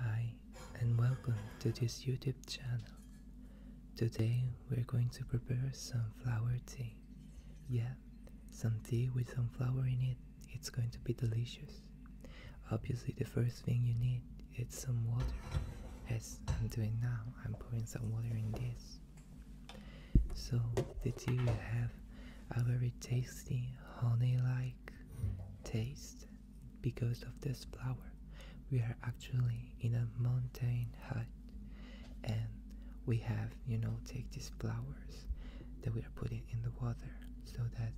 Hi and welcome to this YouTube channel. Today we're going to prepare some flower tea. Yeah, some tea with some flower in it. It's going to be delicious. Obviously the first thing you need is some water. As I'm doing now, I'm pouring some water in this. So the tea will have a very tasty honey-like taste because of this flower. We are actually in a mountain hut and we have, you know, take these flowers that we are putting in the water so that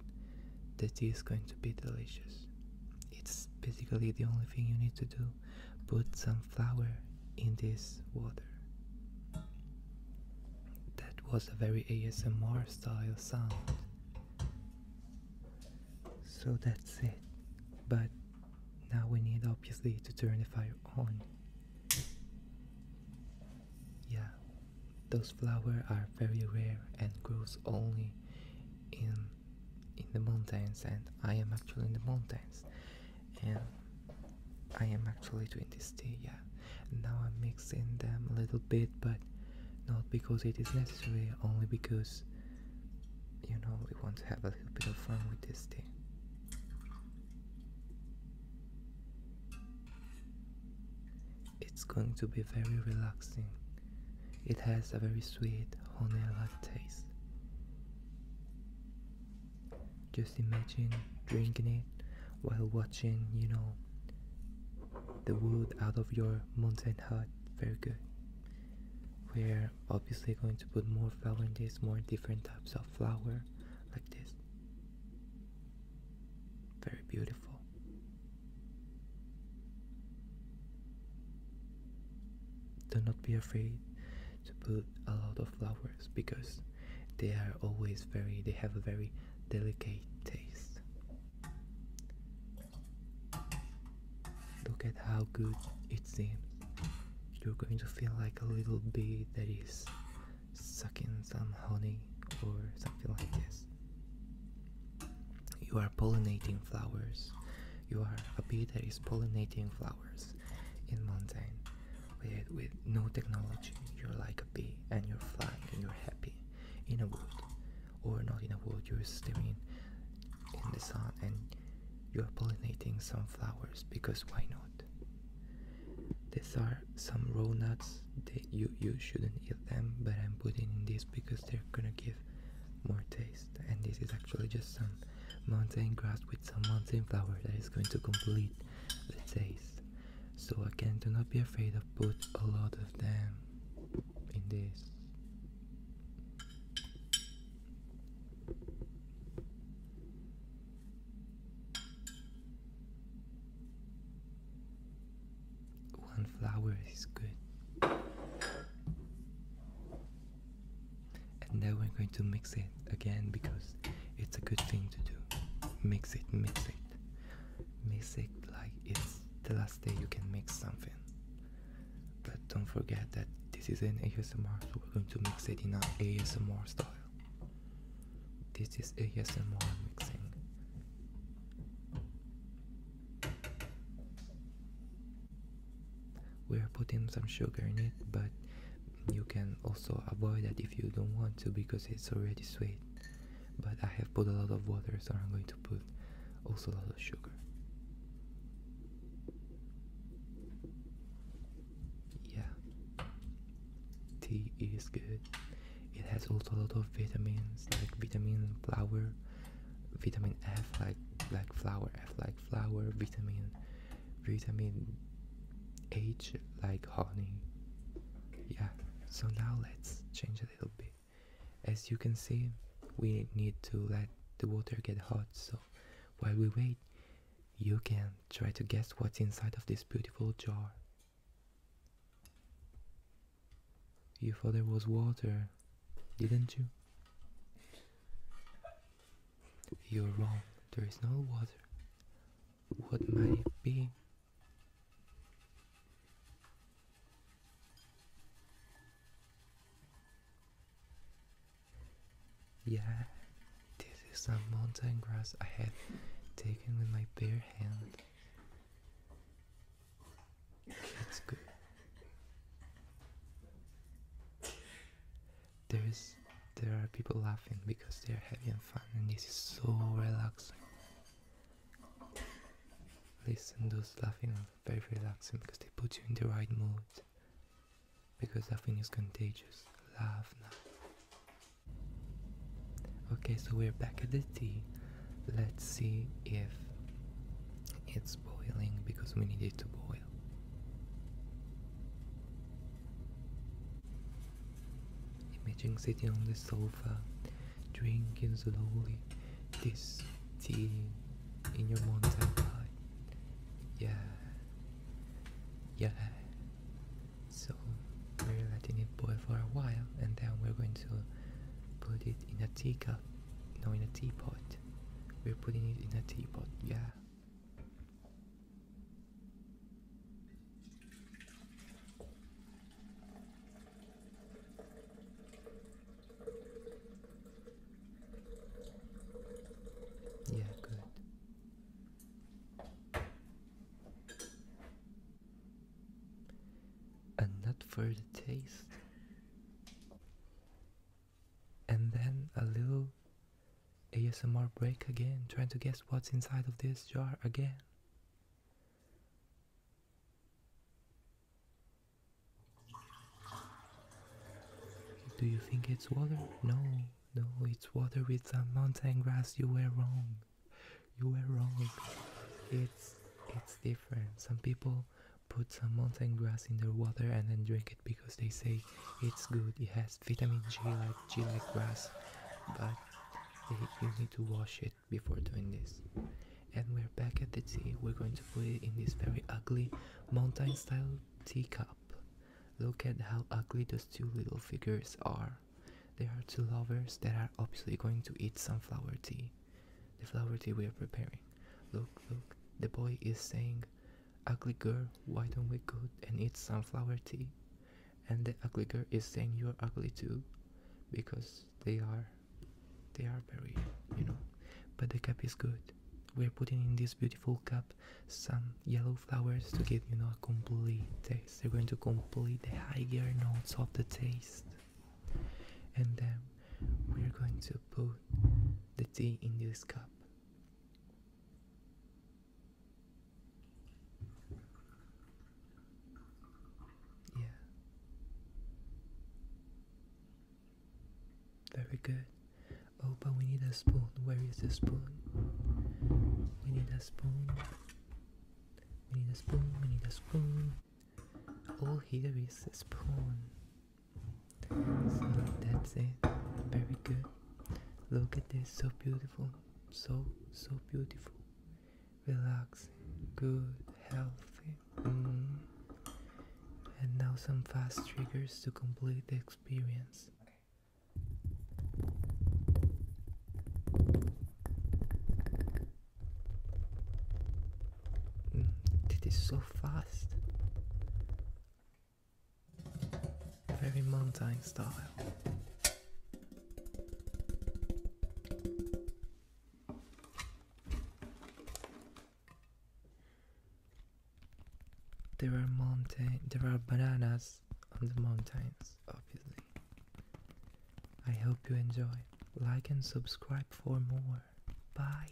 the tea is going to be delicious. It's basically the only thing you need to do. Put some flower in this water. That was a very ASMR style sound. So that's it. But now we need obviously to turn the fire on. Yeah, those flowers are very rare and grows only in in the mountains and I am actually in the mountains and I am actually doing this day, yeah now I'm mixing them a little bit but not because it is necessary only because you know we want to have a little bit of fun with this thing it's going to be very relaxing it has a very sweet honey like taste just imagine drinking it while watching you know the wood out of your mountain hut very good we're obviously going to put more flowers, more different types of flower like this very beautiful do not be afraid to put a lot of flowers because they are always very they have a very delicate taste. Look at how good it's in. You're going to feel like a little bee that is sucking some honey or something like this. You are pollinating flowers. You are a bee that is pollinating flowers in mountain with, with no technology. You're like a bee and you're flying and you're happy in a wood, or not in a wood, you're steaming in the sun and you're pollinating some flowers because why not these are some raw nuts that you you shouldn't eat them but i'm putting in this because they're gonna give more taste and this is actually just some mountain grass with some mountain flower that is going to complete the taste so again, do not be afraid of put a lot of them in this. One flower is good. And now we're going to mix it again because it's a good thing to do. Mix it, mix it. Mix it like it's the last day you can mix something. But don't forget that this is an ASMR, so we're going to mix it in an ASMR style. This is ASMR mixing. We are putting some sugar in it, but you can also avoid that if you don't want to because it's already sweet but I have put a lot of water so I'm going to put also a lot of sugar yeah tea is good it has also a lot of vitamins like vitamin flour vitamin F like like flower F like flower, vitamin vitamin age like honey. Yeah, so now let's change a little bit. As you can see, we need to let the water get hot, so while we wait, you can try to guess what's inside of this beautiful jar. You thought there was water, didn't you? You're wrong, there is no water. What might it be? Yeah, this is some mountain grass I had taken with my bare hand. It's good. There is, there are people laughing because they're heavy and fun and this is so relaxing. Listen, those laughing are very relaxing because they put you in the right mood. Because laughing is contagious. Laugh now. Okay, so we're back at the tea. Let's see if it's boiling because we need it to boil. Imagine sitting on the sofa, drinking slowly this tea in your mountain pie. Yeah, yeah. So we're letting it boil for a while, and then we're going to put it in a teacup, no, in a teapot. We're putting it in a teapot. Yeah. Yeah, good. And not for the taste. And then a little ASMR break again, trying to guess what's inside of this jar again. Do you think it's water? No, no, it's water with some mountain grass. You were wrong. You were wrong. It's it's different. Some people put some mountain grass in their water and then drink it because they say it's good. It has vitamin G like G like grass, but you need to wash it before doing this. And we're back at the tea. We're going to put it in this very ugly mountain style teacup. Look at how ugly those two little figures are. They are two lovers that are obviously going to eat sunflower tea. The flower tea we are preparing. Look, look, the boy is saying, Ugly girl, why don't we go and eat sunflower tea? and the ugly girl is saying you're ugly too because they are they are very you know but the cup is good we're putting in this beautiful cup some yellow flowers to give you know a complete taste they're going to complete the higher notes of the taste and then we're going to put the tea in this cup yeah. Very good. Oh, but we need a spoon. Where is the spoon? We need a spoon. We need a spoon. We need a spoon. All here is a spoon. So that's it. Very good. Look at this, so beautiful so so beautiful relaxing good healthy mm. and now some fast triggers to complete the experience mm, it is so fast very mountain style. There are mountain there are bananas on the mountains, obviously. I hope you enjoy. Like and subscribe for more. Bye.